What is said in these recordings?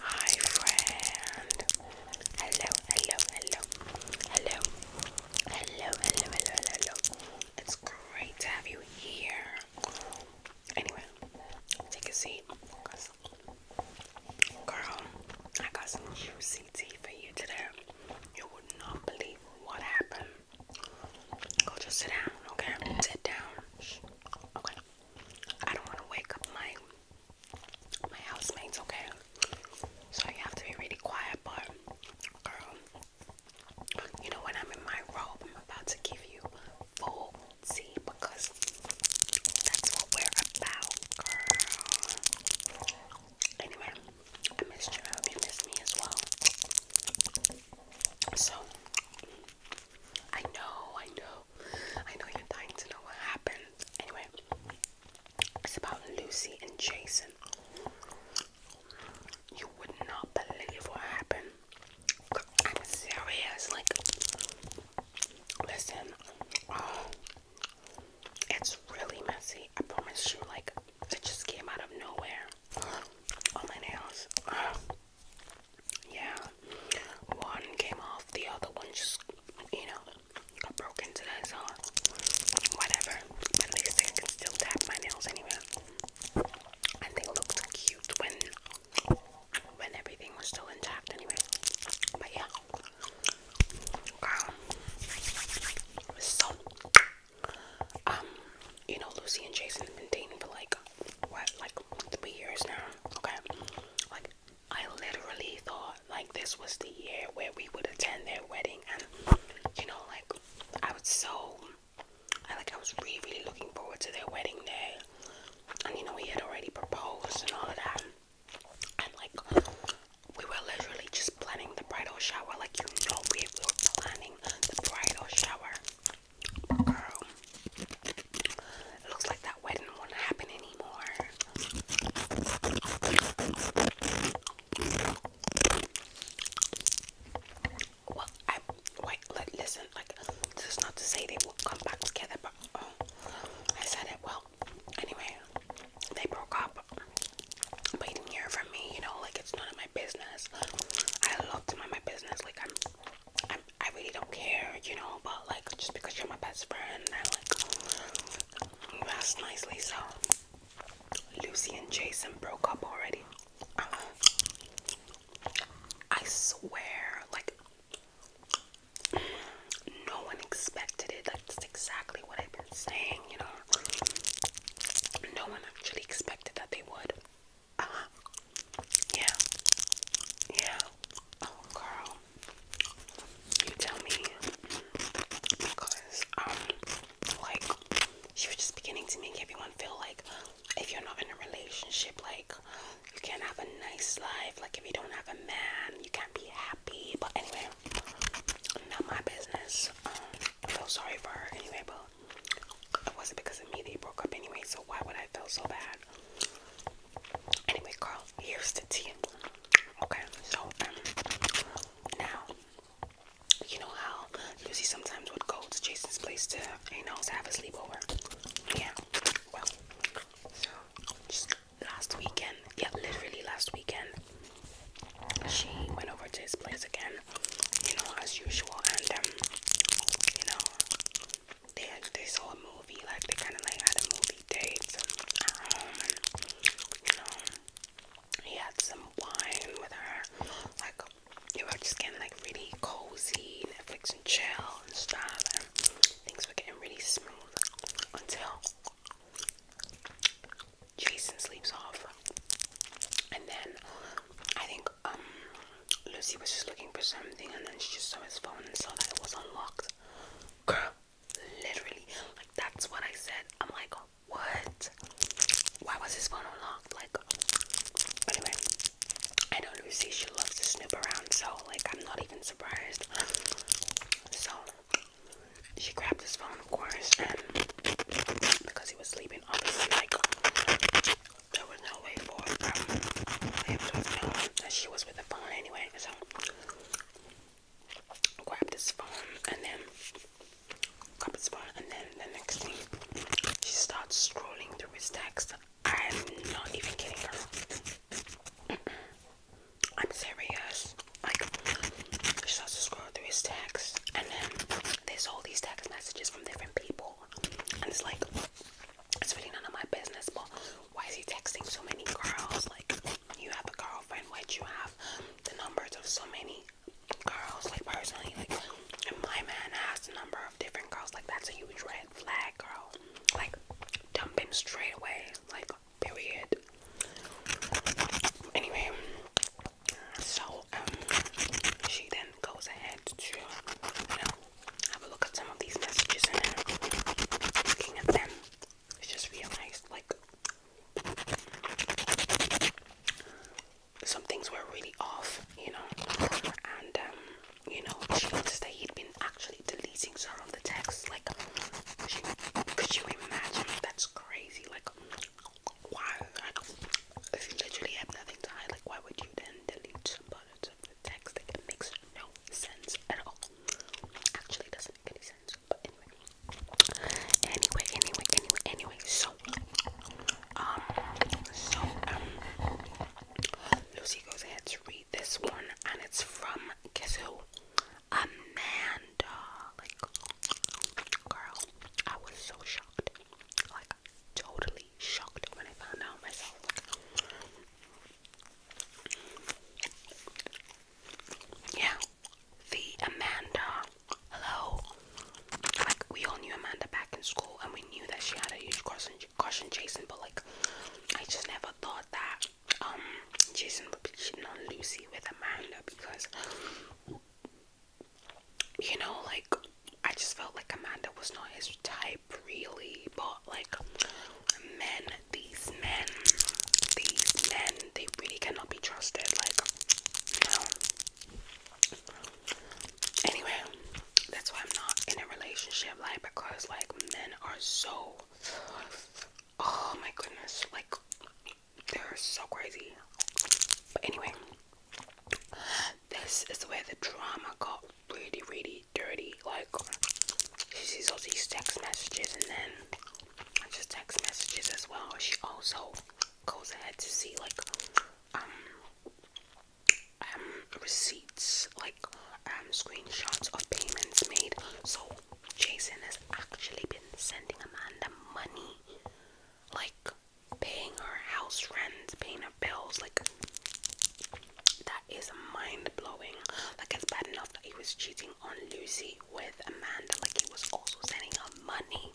Hi friend. Hello, hello, hello, hello, hello, hello, hello, hello. It's great to have you here. Anyway, take a seat, girl, I got some juicy tea for you today. You would not believe what happened. Go just sit down, okay? Sit down. Okay. I don't want to wake up my my housemates, okay? So you have to be really quiet, but girl, you know when I'm in my robe, I'm about to give you full tea because that's what we're about, girl. Anyway, I missed you. hope you missed me as well. So I know, I know, I know you're dying to know what happened. Anyway, it's about Lucy and Jason. You would not believe what happened. I'm serious. Like, listen, oh, it's really messy. I promise you. Like, it just came out of nowhere. oh, my nails. Yeah, one came off, the other one just, you know, got broken today, so whatever. at least I can still tap my nails anywhere. And they looked cute when when everything was still intact anyway. But yeah. so um, you know Lucy and Jason have been dating for like what, like three years now. Okay. Like I literally thought like this was the year where we would attend their wedding and you know like I was so I like I was really really looking forward to their wedding day. And you know he had already proposed and all of that. And like we were literally just planning the bridal shower. Like you know we were planning the bridal shower. Girl, it looks like that wedding won't happen anymore. Well, I wait. Let listen. Like this is not to say they will come back together, but oh, I said it. Well, anyway, they broke up. But you didn't hear from me. You know, like it's none of my business. I love to mind my business. Like I'm I really don't care, you know, but like just because you're my best friend, I like that's nicely. So Lucy and Jason broke up already. I swear, like no one expected it. That's exactly what I've been saying, you know. No one actually expected that they would. Uh huh. Yeah. Yeah. Oh, girl. You tell me. Because, um, like, she was just beginning to make everyone feel like if you're not in a relationship, like, you can't have a nice life. Like, if you don't have a man, you can't be happy. But anyway, not my business. Um, feel sorry for her anyway, it wasn't because of me they broke up anyway, so why would I feel so bad? Anyway, Carl, here's the tea. Okay, so um, now you know how you see sometimes would go to Jason's place to you know have a sleepover. Yeah. Well, so just last weekend, yeah, literally last weekend, she went over to his place again you know, as usual. And um, you know, they had this whole movie, like they kind of like had a movie date at home, and you know, he had some wine with her, like you were just getting like really cozy, Netflix and chill and stuff, and things were getting really smooth until. Jason sleeps off, and then I think um Lucy was just looking for something and then she just saw his phone and saw that it was unlocked. Girl, literally, like that's what I said. I'm like, what? Why was his phone unlocked? Like, anyway, I know Lucy, she loves to snoop around, so like, I'm not even surprised. So, she grabbed his phone, of course, because he was sleeping, obviously, like, there was no way for him to have that she was with the phone anyway. So I grabbed phone and then grabbed his phone and then the next thing she starts scrolling through his text. I'm not even kidding her. I'm serious. Like she starts to through his text and then there's all these text messages from different people and it's like it's really none of my business but why is he texting so many girls like you have a girlfriend why do you have the numbers of so many girls like personally like my man has a number of different girls like that's a huge red flag girl like dump him straight away like period anyway so um, she then goes ahead to you know have a look at some of these messages and looking at them, she just realized like some things were really off, you know, and um, you know she noticed that he'd been actually deleting some of the texts, like, could you, could you imagine? That's crazy, like why? if you literally have nothing to hide, like, why would you then delete some parts of the text? Like, it makes no sense at all. Actually, doesn't make any sense. But anyway, anyway, anyway, anyway, anyway. So, um, so um, Lucy goes ahead to read this one, and it's from guess who? Amanda. Like, girl, I was so shocked like totally shocked when I found out myself. Yeah, the Amanda. Hello. Like we all knew Amanda back in school, and we knew that she had a huge crush on, crush on Jason. But like, I just never thought that um Jason would be cheating on Lucy with Amanda because you know, like I just felt like Amanda was not his type, really. But like, men, these men, these men, they really cannot be trusted. Like, you know. Anyway, that's why I'm not in a relationship, like because like men are so. Oh my goodness, like they're so crazy. But anyway, this is where the drama got really, really dirty. Like, she sees all these text messages and then just text messages as well. She also goes ahead to see, like, um, um, receipts, like, um, screenshots of payments made. So, Jason has actually been sending Amanda money. Like, paying her house rent, paying her bills, like that is mind blowing. Like it's bad enough that he was cheating on Lucy with Amanda, like he was also sending her money.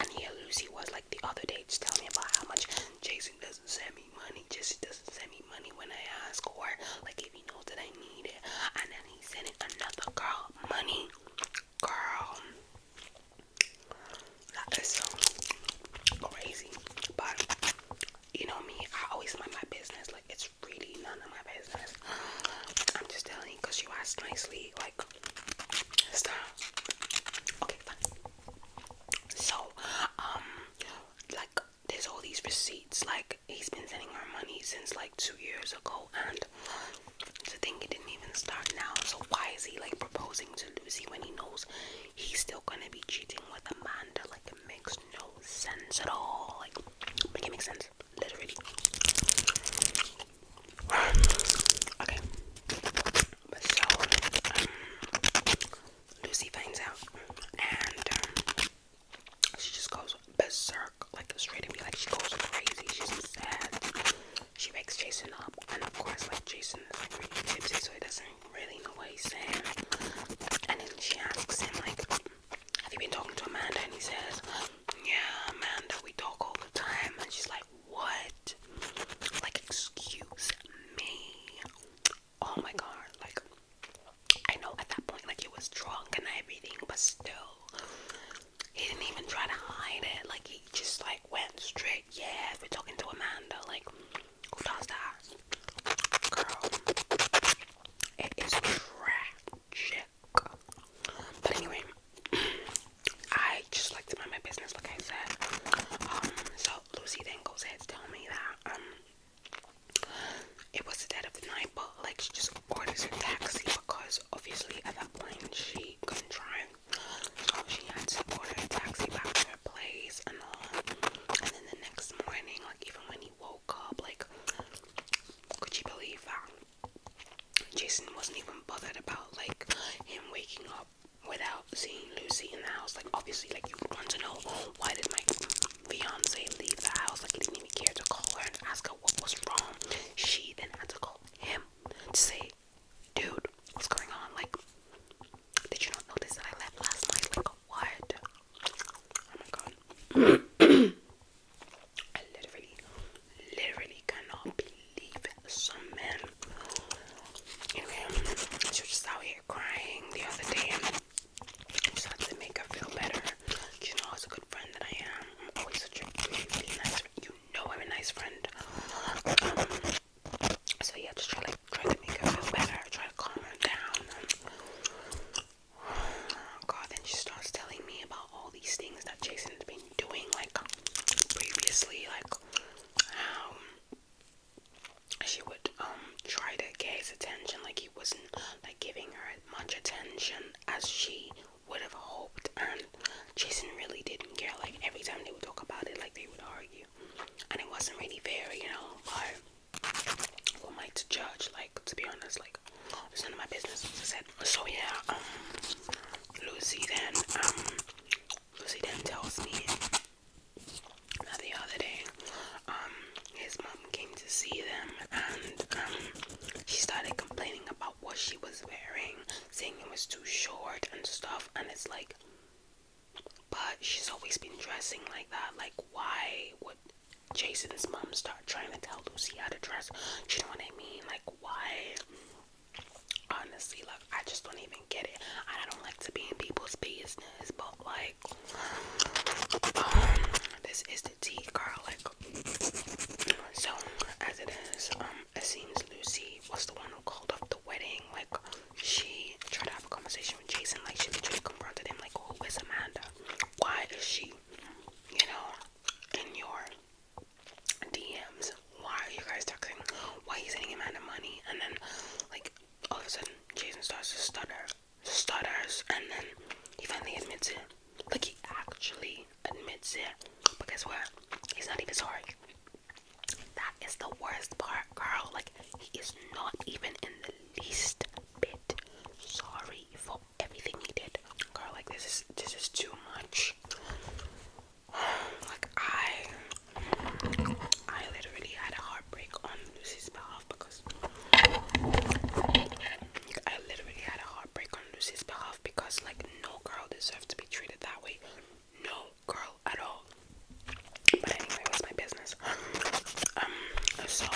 And here Lucy was like the other day just telling me about how much Jason doesn't send me money, Jesse doesn't send me money when I ask or like if he knows that I need it. And then he's sending another girl money Girl, that is crazy. But you know me, I always mind my business. Like it's really none of my business. I'm just telling you because you asked nicely. Like stop. Okay, fine. So, um, like there's all these receipts. Like he's been sending her money since like two years ago and the thing he didn't even start now so why is he like proposing to Lucy when he knows he's still gonna be cheating with Amanda like it makes no sense at all like make it make sense literally okay so um, Lucy finds out and um, she just goes berserk like straight at me, like she goes crazy. She's sad. She makes Jason up, and of course, like Jason is like really tipsy, so he doesn't really know what he's saying. And then she asks him like, "Have you been talking to Amanda?" And he says, "Yeah, Amanda. We talk all the time." And she's like, "What? Like, excuse me? Oh my god! Like." I know at that point, like he was drunk and everything, but still, he didn't even try to hide it. Like he just like went straight. Yeah, we're talking to Amanda. Like who does that? Girl, it is tragic. But anyway, I just like to mind my business, like I said. Um, so Lucy then goes ahead to tell me that um, it was the dead of the night but like she just orders a taxi because obviously at that point she couldn't drive, so she had to order a taxi back to her place uh, and then the next morning, like even when he woke up, like could you believe that Jason wasn't even bothered about like him waking up without seeing Lucy in the house? Like obviously, like you want to know why did my fiance leave the house? Like he didn't even care to call her and ask her what was wrong. She then had to call him to say, dude, what's going on? Like, did you not notice that I left last night? Like, what? Oh my god. I literally, literally cannot believe some men. Anyway, she was just out here crying the other day. Just had to make her feel better. You know, it's a friend that I am. I'm always such a really nice friend. You know I'm a nice friend. Um, so yeah, just try like try to make her feel better, try to calm her down. God, then she starts telling me about all these things that Jason's been doing like previously, like how she would um try to get his attention, like he wasn't like giving her much attention as she would have hoped and Jason really didn't care. Like every time they would talk about it like they would argue. And it wasn't really fair, you know, but who am I to judge? Like to be honest, like it's none of my business. So yeah, um, Lucy then um, Lucy then tells me the other day, um, his mom came to see them and um, she started complaining about what she was wearing, saying it was too short and stuff. And it's like, but she's always been dressing like that. Like, why would Jason's mom start trying to tell Lucy how to dress? Do you know what I mean? Like, why? Honestly, look, I just don't even get it. I don't like to be in people's business, but like, um, this is the tea garlic. So as it is, um, it seems Lucy was the one who called off the wedding. Like she tried to have a conversation with Jason. Like she literally confronted him. Like, who is Amanda? Why is she, you know, in your DMs? Why are you guys texting? Why is he sending Amanda money? And then, like, all of a sudden, Jason starts to stutter stutters, and then he finally admits it. Like, he actually admits it. But guess what? He's not even sorry. That is the worst part, girl. Like, he is not even in the least bit sorry for everything he did. Girl, like, this is this is too much. Like, I, I literally had a heartbreak on Lucy's behalf because I literally had a heartbreak on Lucy's behalf because like no girl deserves to be treated that way. No girl at all. But anyway, it was my business. Um so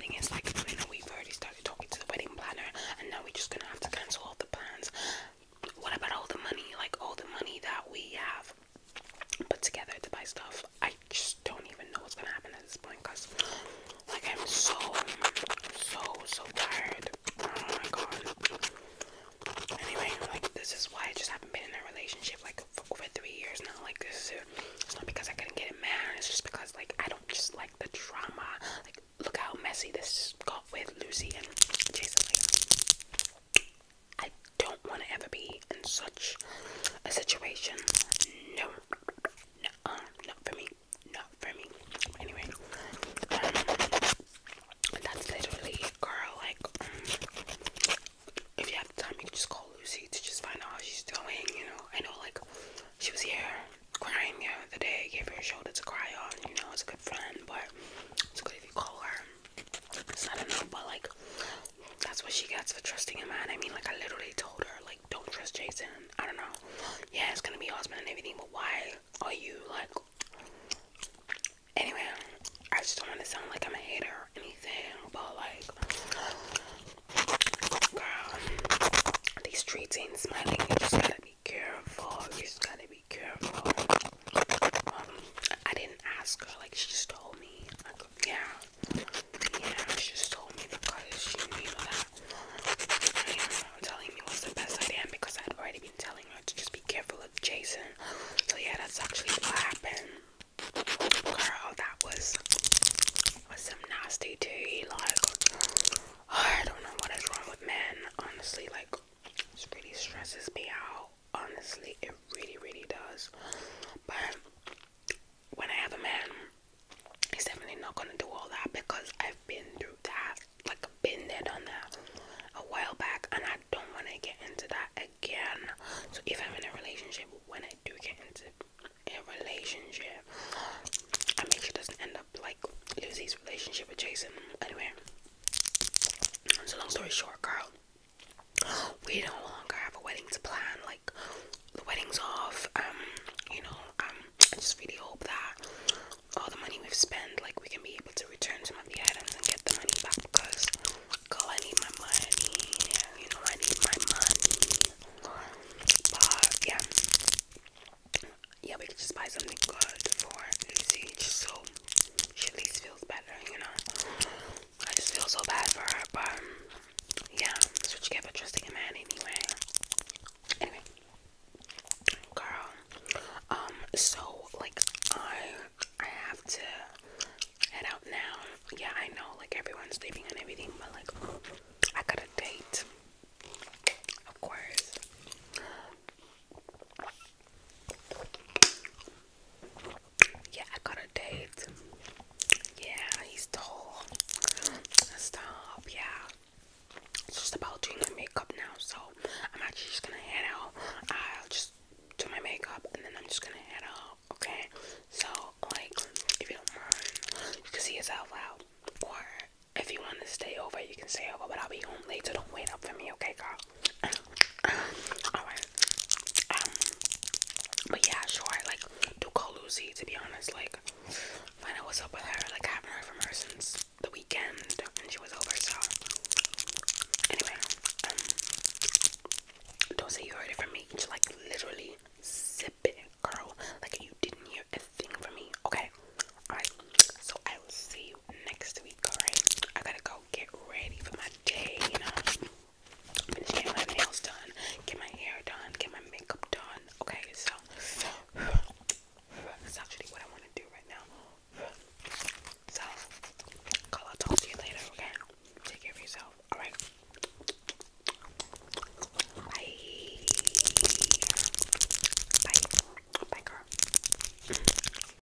thing is like we've already started talking to the wedding planner and now we're just gonna have to cancel all the plans. What about all the money? Like all the money that we have put together to buy stuff. I just don't even know what's gonna happen at this point because, like, I'm so, so, so tired. Oh my god. Anyway, like, this is why I just haven't been in a relationship like for three years now. Like, this It's not because I couldn't get it married. It's just because, like, I don't just like the drama. Like, look how messy this got with Lucy and Jason. I don't want to ever be in such a situation. No, no, uh, um, not for me, not for me. Anyway, um, that's literally, girl. Like, um, if you have time, you can just call Lucy to just find out how she's doing. You know, I know, like, she was here crying the other day. gave her a shoulder to cry on. You know, it's a good friend, but it's good if you call her. I don't know, but like that's what she gets for trusting a man. I mean, like I literally told her, like, don't trust Jason. I don't know. Yeah, it's gonna be husband and everything, but why are you like? Anyway, I just don't want to sound like I'm a hater or anything, but like, girl, these streets ain't smiling. You just gotta be careful. You just gotta be careful. Um, I didn't ask her. Like she just told me. Like, yeah. Yeah, she just told me because she knew that I am telling me was the best idea because I would already been telling her to just be careful of Jason. So yeah, that's actually what happened. Girl, that was was some nasty tea. Like I don't know what is wrong with men. Honestly, like it really stresses me out honestly it really really does but when i have a man he's definitely not gonna do all that because i've been through that like been there done that a while back and i don't want to get into that again so if i'm in a relationship when i do get into a relationship i make sure it doesn't end up like Lucy's relationship with jason anyway so long story short girl we no longer have a wedding to plan. Like the wedding's off. Um, you know, um, I just really hope that all the money we've spent, like we can be able to return some of the items and get the money back because, girl, I need my money. You know, I need my money. But yeah, yeah, we can just buy something good for Lucy, just so she at least feels better. You know. I just feel so bad for her, but um, yeah, that's what you get for trusting a man anyway. Anyway, girl, um, so like I I have to head out now. Yeah, I know like everyone's sleeping and everything, but like I got a date, of course. Yeah, I got a date. Yeah, he's tall. Stop, yeah. It's just about doing my makeup now, so I'm actually just gonna head out. I'll just do my makeup and then I'm just gonna head out, okay? So, like, if you don't mind, you can see his out. Or if you want to stay over, you can stay over, but I'll be home late, so Don't wait up for me, okay, girl? Um, but yeah, sure, like do call Lucy to be honest, like find out what's up with her, like I haven't heard from her since the weekend and she was over, so anyway, um, don't say you heard it from me. Just like literally zip it, girl. Like you didn't hear a thing from me. Okay. Alright. So I will see you next week, alright? I gotta go get ready for my a you know. I just can't get my nails done, get my hair done, get my makeup done. Okay, so that's actually what I want to do right now. So, call I'll talk to you later, okay? Take care of yourself. Alright. Bye. Bye. Bye, girl.